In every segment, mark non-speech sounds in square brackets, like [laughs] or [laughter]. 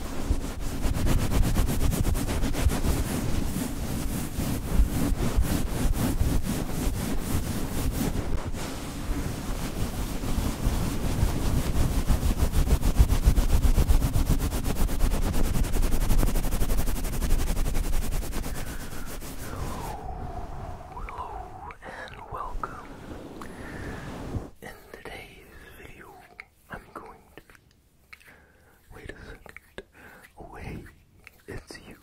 Hello, hello and welcome. In today's today's video, I'm going to Wait a second. Oh, hey, it's you.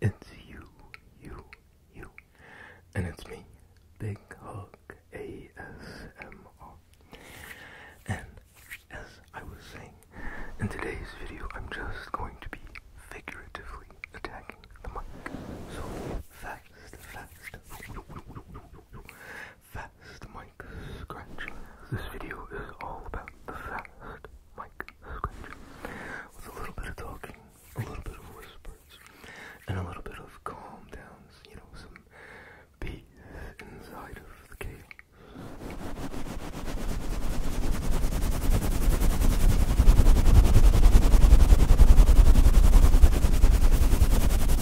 It's you, you, you. And it's me, Big Hug ASMR. And as I was saying, in today's video, I'm just going to be figuratively attacking the mic. So fast, fast. Fast mic scratch. This video is all about the fast Mike scratch. With a little bit of talking, a little bit of whispers, and a little bit of calm downs, you know, some peace inside of the chaos.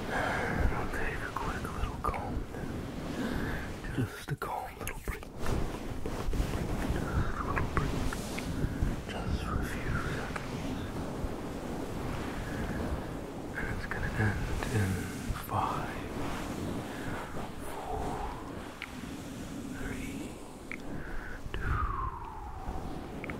I'll take a quick little comb Just a calm little break. Just a little break. Just for a few seconds. And it's gonna end in five, four, three, two,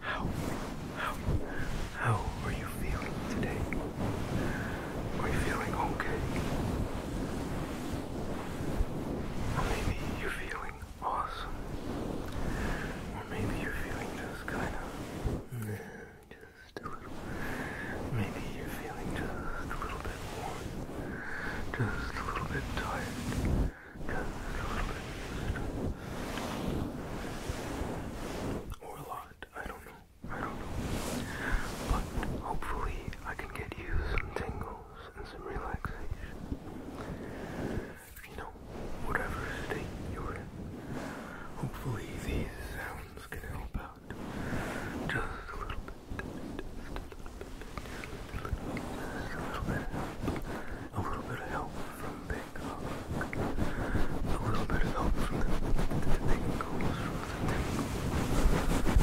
How, how, how are you feeling today? Are you feeling okay? Or maybe you're feeling awesome. Or maybe you're feeling just kind of, just a little, maybe you're feeling just a little bit warm, just a little bit tired, just a little bit stressed. Or a lot, I don't know, I don't know. But hopefully I can get you some tingles and some relaxation. You know, whatever state you're in, hopefully these sounds can help out just a little bit. Just a little bit. a little bit. A little bit of help from Big Hug. A little bit of help from the, the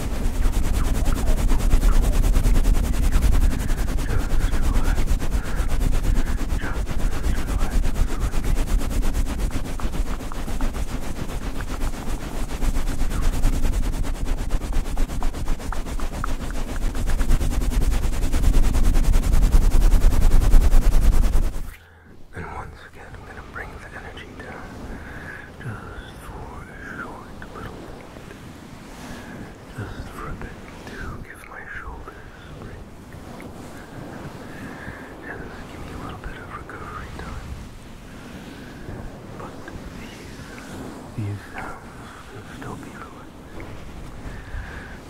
And once again, I'm going to bring the energy down just for a short little bit. Just for a bit to give my shoulders a break. And give me a little bit of recovery time. But these, these sounds can still be relaxing.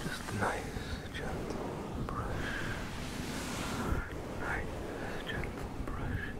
Just nice, gentle brush. Nice, gentle brushing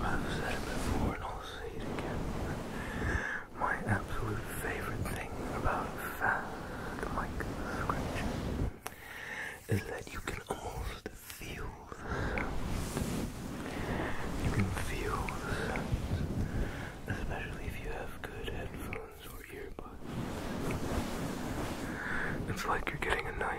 I've said it before and I'll say it again. My absolute favorite thing about fast mic is that you can almost feel You can feel especially if you have good headphones or earbuds. It's like you're getting a nice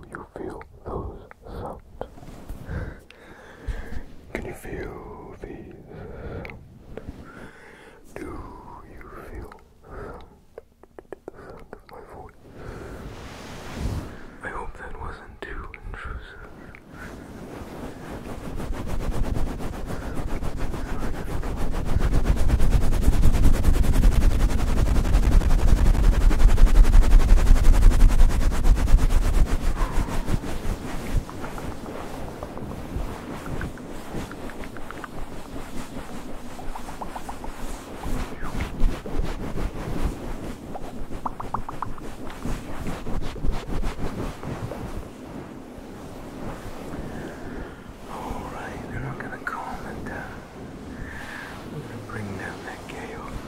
Do you feel those sounds? Can you feel these sounds? Do you feel the sound of my voice? I hope that wasn't too intrusive. Alright, we're not gonna calm it down. We're gonna bring down that chaos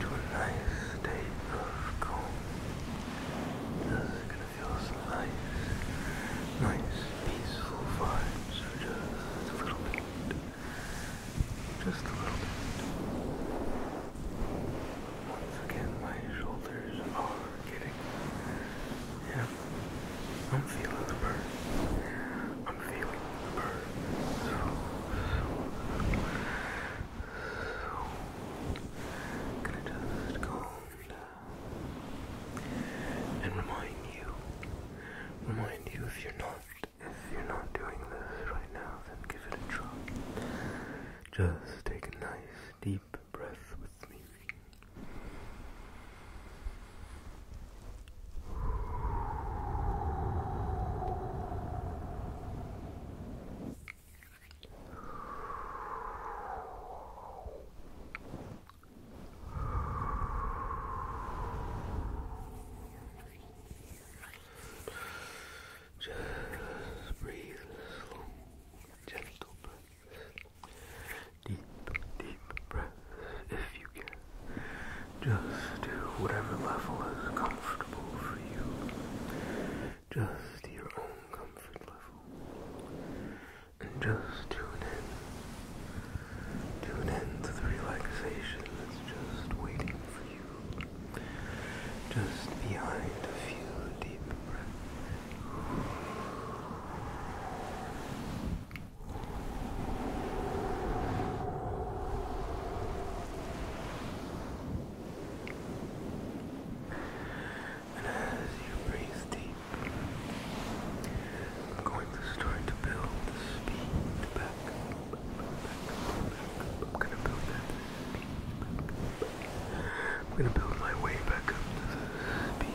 to a nice state of calm. You're gonna feel some nice, nice, peaceful vibes. So just a little bit. Just a little bit. Once again, my shoulders are getting. Yeah. I'm feeling the burn. I'm feeling the burn. So, so, so, so can I just calm and remind you, remind you if you're not, if you're not doing this right now, then give it a try. Just take a nice deep breath with me. Just breathe slow, gentle deep, deep breath if you can. Just do whatever level is comfortable for you just your own comfort level. And just tune in. Tune in to the relaxation that's just waiting for you. Just behind a few deep breaths. And as you breathe deep, I'm going to start to build the speed back I'm going to build that speed I'm going to build my way back up to the speed.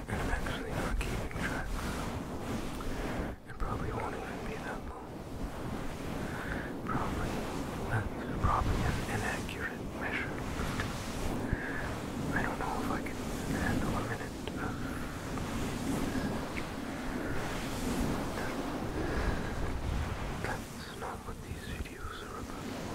and I'm actually not keeping track. It probably won't even be that long. Probably, that's probably an inaccurate measure. I don't know if I can handle a minute That's not what these videos are about.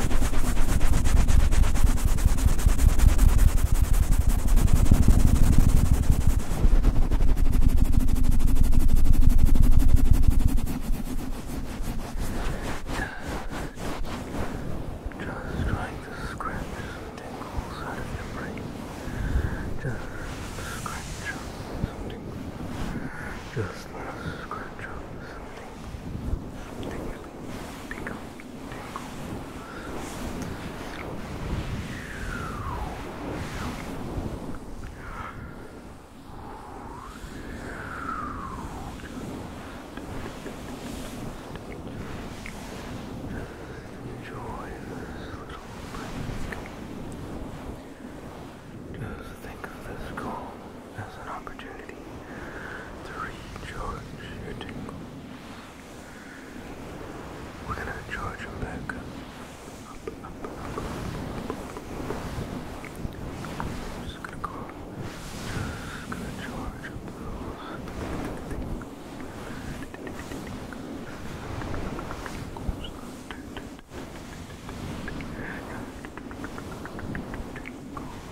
Just trying to scratch some tingles out of your brain. Just scratch up some tingles. scratch up some Enjoy this little break. Just think of this calm as an opportunity to recharge your tingle. We're gonna charge them back up. Up, up, up, up. I'm just gonna go. Just gonna charge up those. Tingle.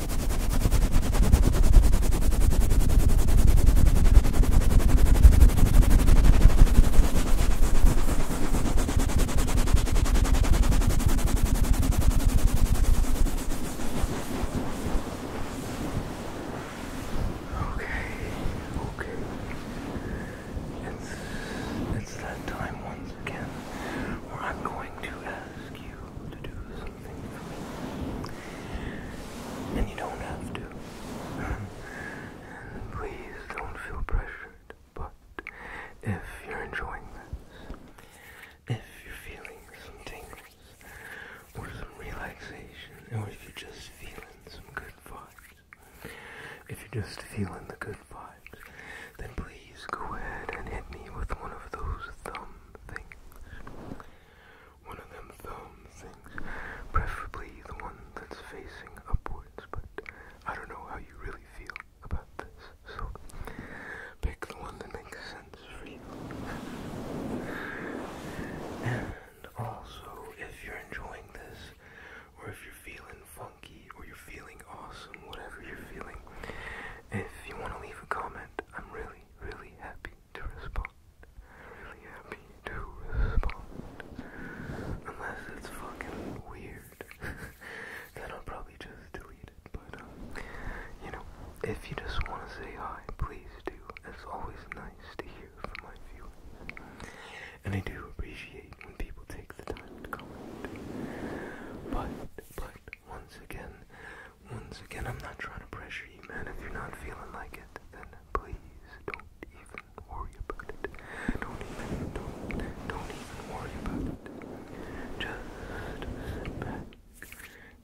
Okay, okay. It's it's that time once again where I'm going to ask you to do something And you don't have to. please don't feel pressured. But if you're enjoying this, if you're feeling some tingles or some relaxation, or if you're just feeling some good vibes, if you're just feeling the good vibes, then please go ahead and hit me with one of those thumb things. One of them thumb things, preferably the one that's facing upwards, but I don't know how you really feel about this, so pick the one that makes sense for you. And also, if you're enjoying this, or if you're feeling funky, or you're feeling awesome, whatever you're feeling. If you want to leave a comment, I'm really, really happy to respond. Really happy to respond. Unless it's fucking weird. [laughs] then I'll probably just delete it. But, um, you know, if you just want to say hi, please do. It's always nice to hear from my viewers. And I do appreciate when people take the time to comment. But, but, once again, once again, I'm not trying to pressure you, man. If you're not feeling like it, then please don't even worry about it. Don't even, don't, don't even worry about it. Just sit back.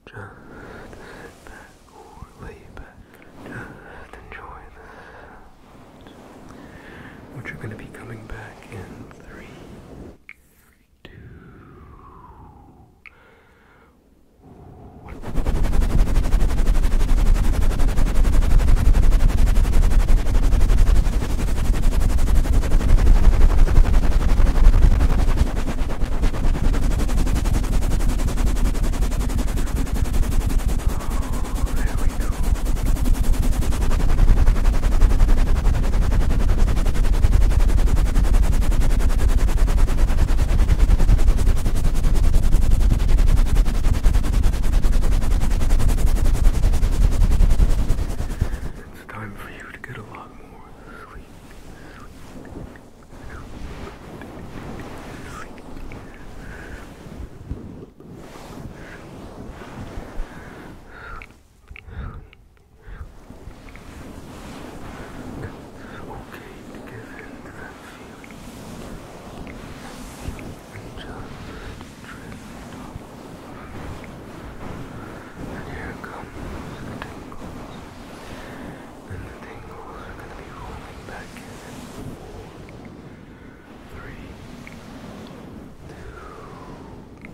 Just sit back or lay back. Just enjoy the Which are going to be coming back in three two, one. Oh, there we go. It's time for you to get a lot more sleep. Sleep. Sleep. Sleep. Sleep. Sleep okay to give in that feeling and just drift off. And here comes the tingles, and the tingles are going to be rolling back in in four, three, two,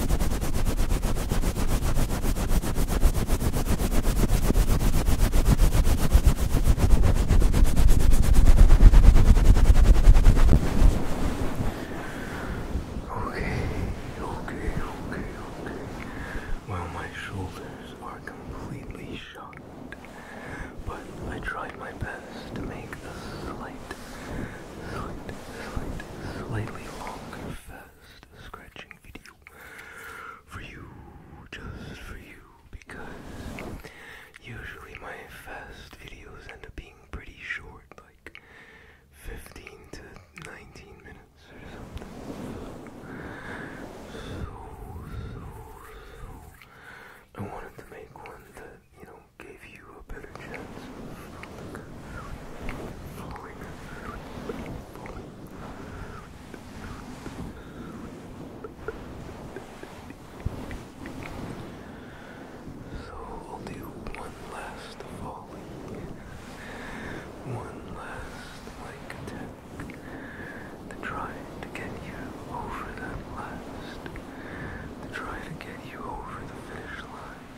Okay, okay, okay, okay. Well, my shoulders are completely shot, but I tried my best to make a slight slightly longer, fast scratching video for you, just for you, because usually my fast videos end up being pretty short, like 15 to 19 minutes or something. So, so, so, I wanted to make one that, you know, give you a better chance So we'll do one last volley, one last like to try to get you over that last, to try to get you over the finish line.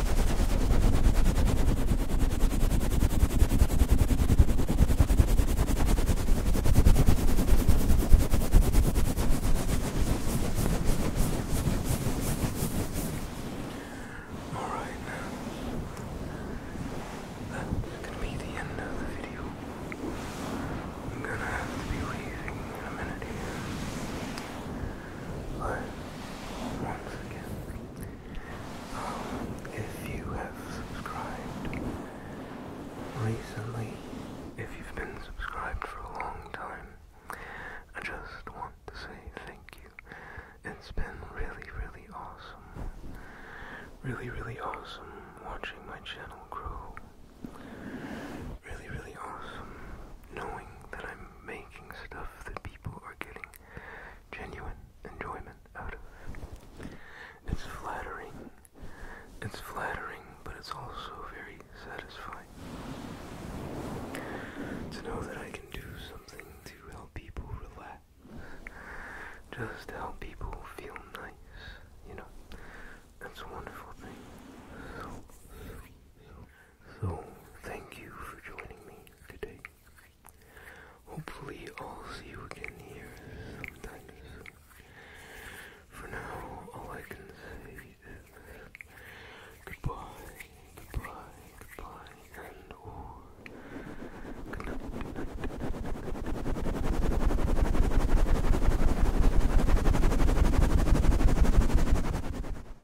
All right, that's gonna be the end of the video. I'm gonna have to be leaving in a minute here. But once again, if you have subscribed recently, if you've been subscribed for a long time, I just want to say thank you. It's been really, really awesome. Really, really awesome watching my channel grow. Really, really awesome knowing that I'm making stuff that people are getting genuine enjoyment out of. It's flattering. It's flattering, but it's also very satisfying. To know that I can do something to help people relax. Just to help people feel nice, you know. That's a wonderful thing. So, thank you for joining me today. Hopefully, I'll see you again here sometime For now, all I can say is goodbye, goodbye, goodbye, and or oh, good night.